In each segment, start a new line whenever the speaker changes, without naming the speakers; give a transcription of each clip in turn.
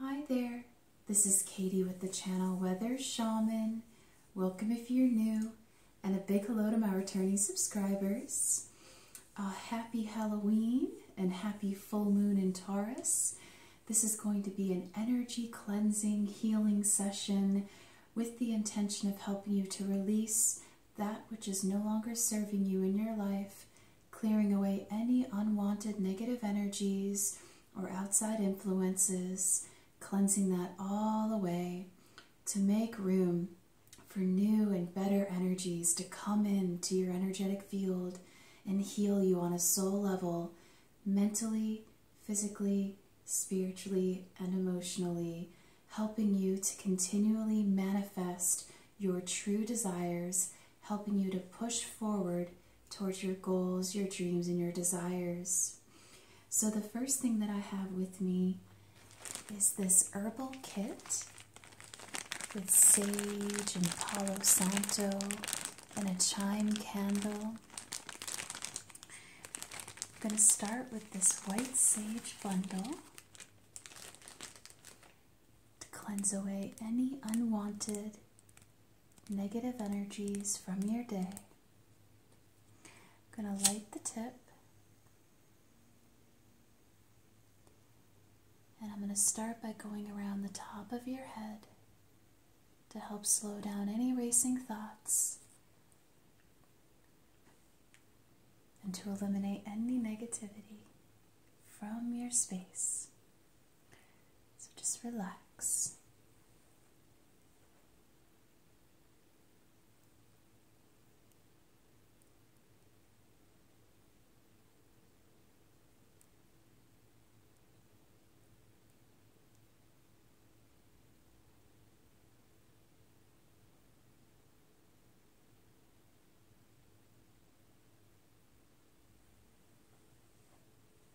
Hi there, this is Katie with the channel Weather Shaman. Welcome if you're new, and a big hello to my returning subscribers. Uh, happy Halloween and happy full moon in Taurus. This is going to be an energy cleansing, healing session with the intention of helping you to release that which is no longer serving you in your life clearing away any unwanted negative energies or outside influences, cleansing that all away to make room for new and better energies to come into your energetic field and heal you on a soul level, mentally, physically, spiritually, and emotionally, helping you to continually manifest your true desires, helping you to push forward towards your goals, your dreams, and your desires. So the first thing that I have with me is this herbal kit with sage and palo santo and a chime candle. I'm going to start with this white sage bundle to cleanse away any unwanted negative energies from your day. I'm going to light the tip. And I'm going to start by going around the top of your head to help slow down any racing thoughts and to eliminate any negativity from your space. So just relax.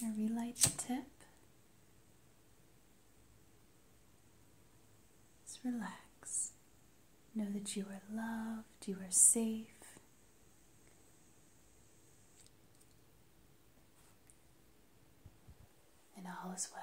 Gonna relight the tip. Just relax. Know that you are loved, you are safe. And all is well.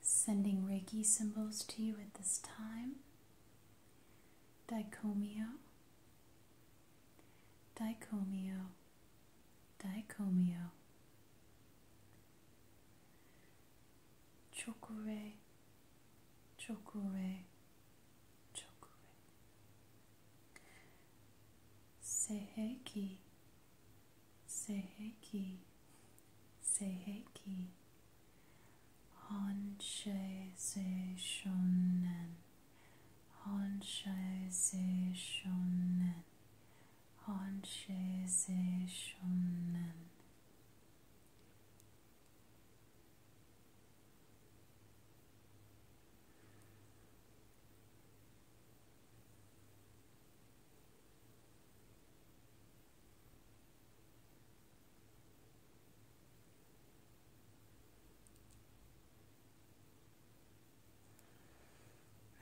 Sending Reiki symbols to you at this time. Dicomio, dicomio, dicomio. Chokure, chokure, chokure. Seheki, Seiheki, Seiheki, Honshe Se Shonen, Honshe Se Shonen, Honshe Se Shonen.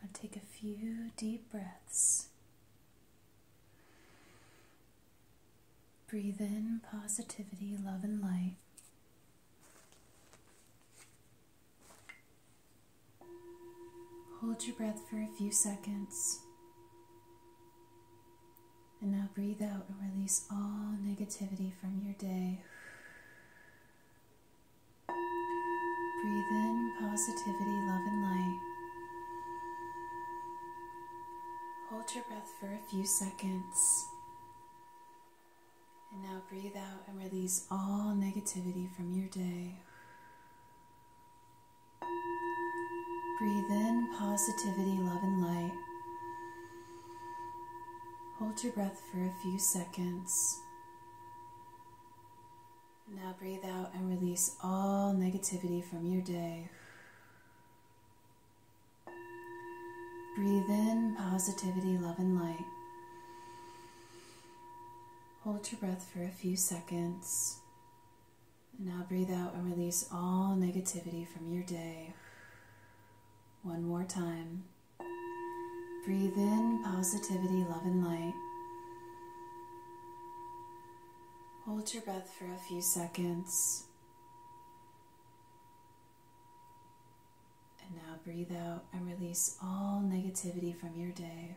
And take a few deep breaths. Breathe in positivity, love, and light. Hold your breath for a few seconds. And now breathe out and release all negativity from your day. Breathe in positivity, love, and light. Hold your breath for a few seconds. And now breathe out and release all negativity from your day. Breathe in positivity, love, and light. Hold your breath for a few seconds. Now breathe out and release all negativity from your day. Breathe in positivity, love, and light. Hold your breath for a few seconds now breathe out and release all negativity from your day. One more time. Breathe in positivity, love, and light. Hold your breath for a few seconds. And now breathe out and release all negativity from your day.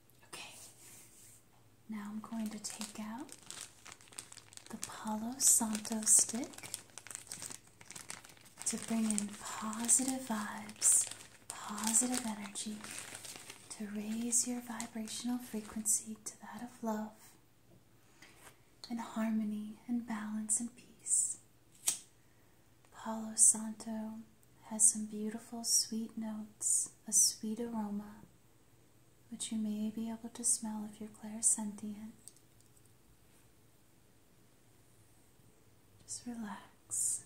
Okay, now I'm going to take out the Palo Santo stick to bring in positive vibes, positive energy, to raise your vibrational frequency to that of love and harmony and balance and peace. Palo Santo has some beautiful sweet notes, a sweet aroma which you may be able to smell if you're clairsentient. Just relax.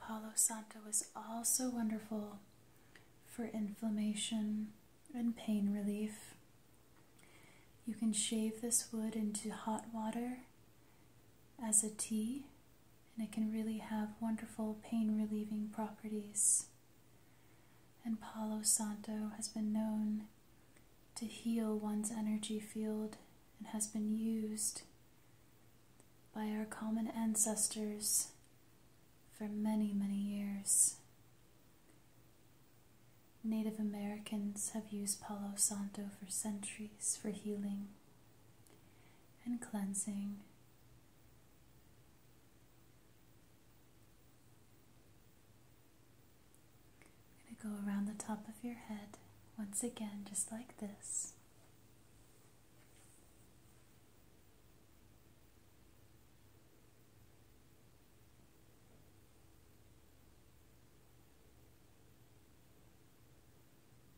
Palo Santo is also wonderful for inflammation and pain relief. You can shave this wood into hot water as a tea, and it can really have wonderful pain relieving properties. And Palo Santo has been known to heal one's energy field and has been used by our common ancestors for many, many years. Native Americans have used Palo Santo for centuries for healing and cleansing. going to go around the top of your head once again, just like this.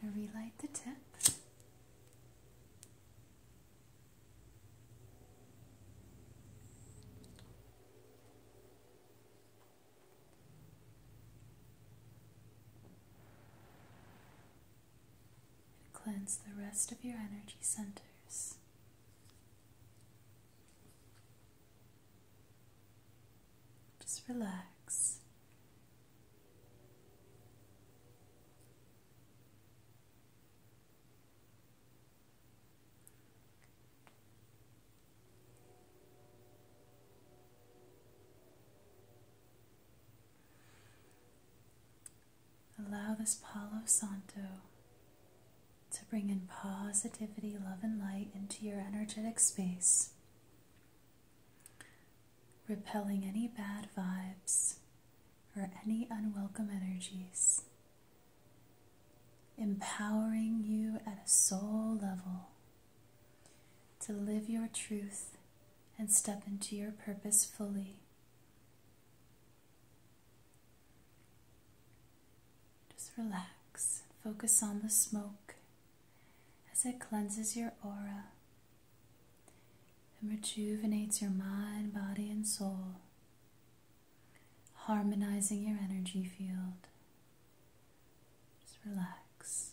Gonna relight the tip. and Cleanse the rest of your energy centers. Just relax. Allow this Palo Santo to bring in positivity, love, and light into your energetic space, repelling any bad vibes or any unwelcome energies, empowering you at a soul level to live your truth and step into your purpose fully. Just relax. Focus on the smoke as it cleanses your aura and rejuvenates your mind, body, and soul, harmonizing your energy field. Just relax.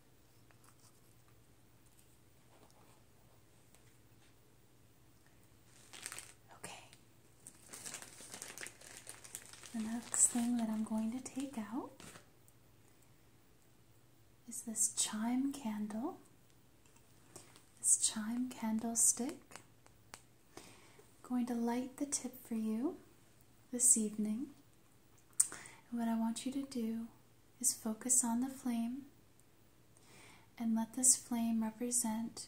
Okay. The next thing that I'm going to take out is this chime candle, this chime candlestick. I'm going to light the tip for you this evening. And what I want you to do is focus on the flame and let this flame represent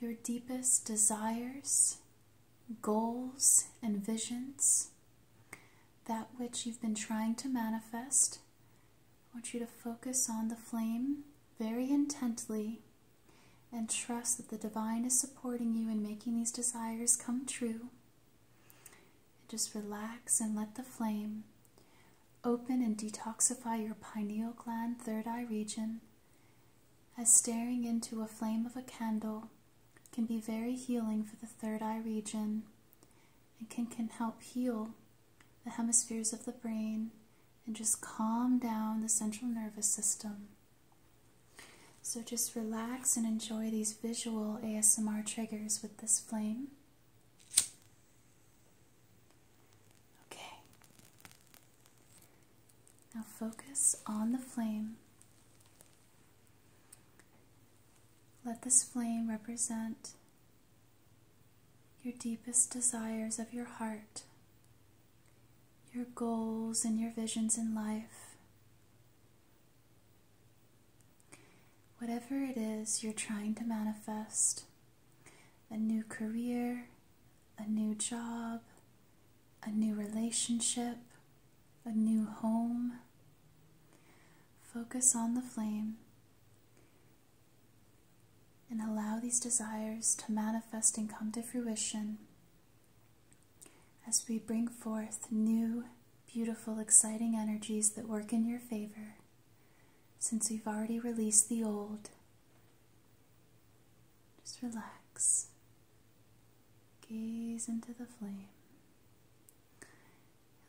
your deepest desires, goals, and visions, that which you've been trying to manifest. I want you to focus on the flame very intently and trust that the divine is supporting you in making these desires come true. And just relax and let the flame open and detoxify your pineal gland, third eye region, as staring into a flame of a candle can be very healing for the third eye region and can, can help heal the hemispheres of the brain and just calm down the central nervous system. So just relax and enjoy these visual ASMR triggers with this flame. Okay. Now focus on the flame. Let this flame represent your deepest desires of your heart, your goals and your visions in life, Whatever it is you're trying to manifest a new career, a new job, a new relationship, a new home focus on the flame and allow these desires to manifest and come to fruition as we bring forth new, beautiful, exciting energies that work in your favor. Since we've already released the old, just relax. Gaze into the flame.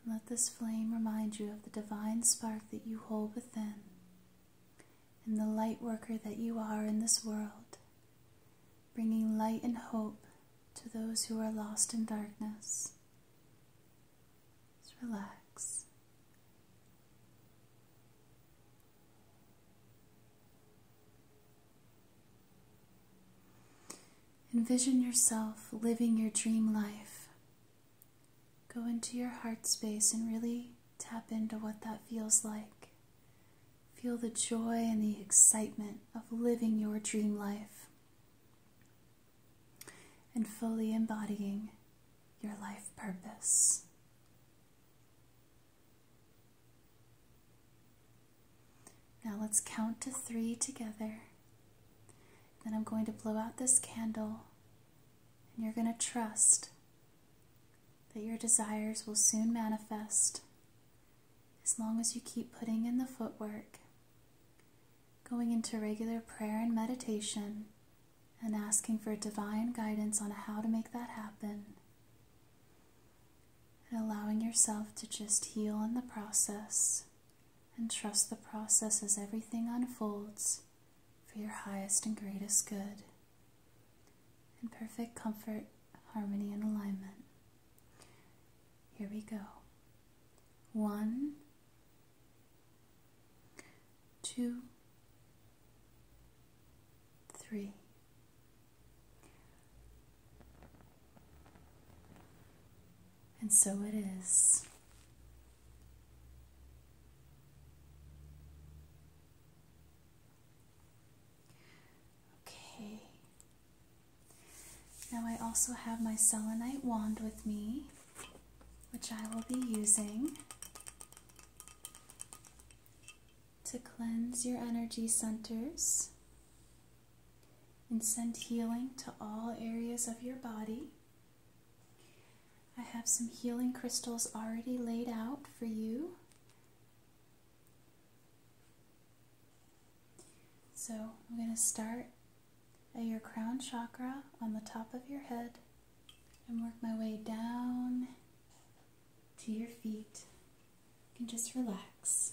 And let this flame remind you of the divine spark that you hold within and the light worker that you are in this world, bringing light and hope to those who are lost in darkness. Just relax. Envision yourself living your dream life. Go into your heart space and really tap into what that feels like. Feel the joy and the excitement of living your dream life and fully embodying your life purpose. Now let's count to three together. Then I'm going to blow out this candle, and you're going to trust that your desires will soon manifest as long as you keep putting in the footwork Going into regular prayer and meditation and asking for divine guidance on how to make that happen. And allowing yourself to just heal in the process and trust the process as everything unfolds for your highest and greatest good. In perfect comfort, harmony, and alignment. Here we go. One, two, three. And so it is. Okay. Now I also have my selenite wand with me which I will be using to cleanse your energy centers and send healing to all areas of your body. I have some healing crystals already laid out for you. So I'm going to start at your crown chakra on the top of your head and work my way down to your feet. You can just relax.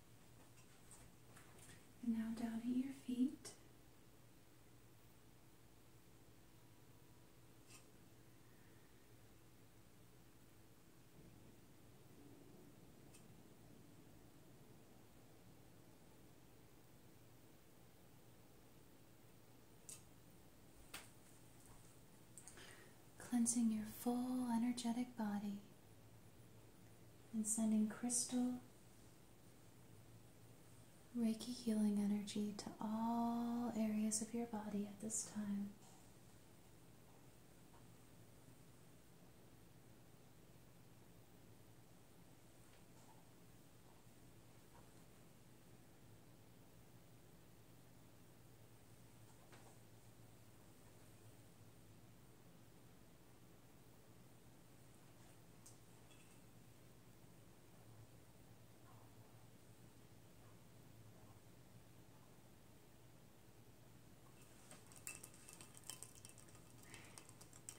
now down at your feet. Cleansing your full energetic body and sending crystal Reiki healing energy to all areas of your body at this time.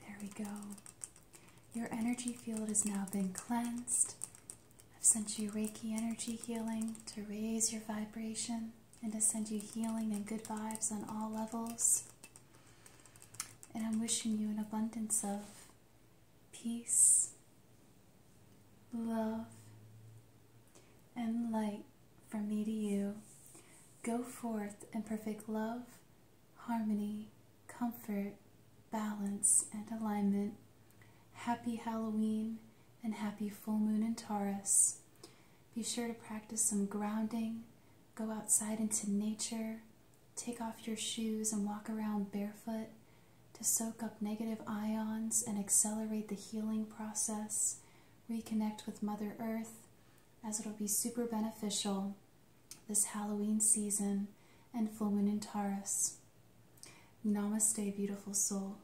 There we go. Your energy field has now been cleansed. I've sent you Reiki energy healing to raise your vibration and to send you healing and good vibes on all levels. And I'm wishing you an abundance of peace, love, and light from me to you. Go forth in perfect love, harmony, comfort, balance, and alignment. Happy Halloween and happy full moon in Taurus. Be sure to practice some grounding, Go outside into nature. Take off your shoes and walk around barefoot to soak up negative ions and accelerate the healing process. Reconnect with Mother Earth as it'll be super beneficial this Halloween season and full moon in Taurus. Namaste, beautiful soul.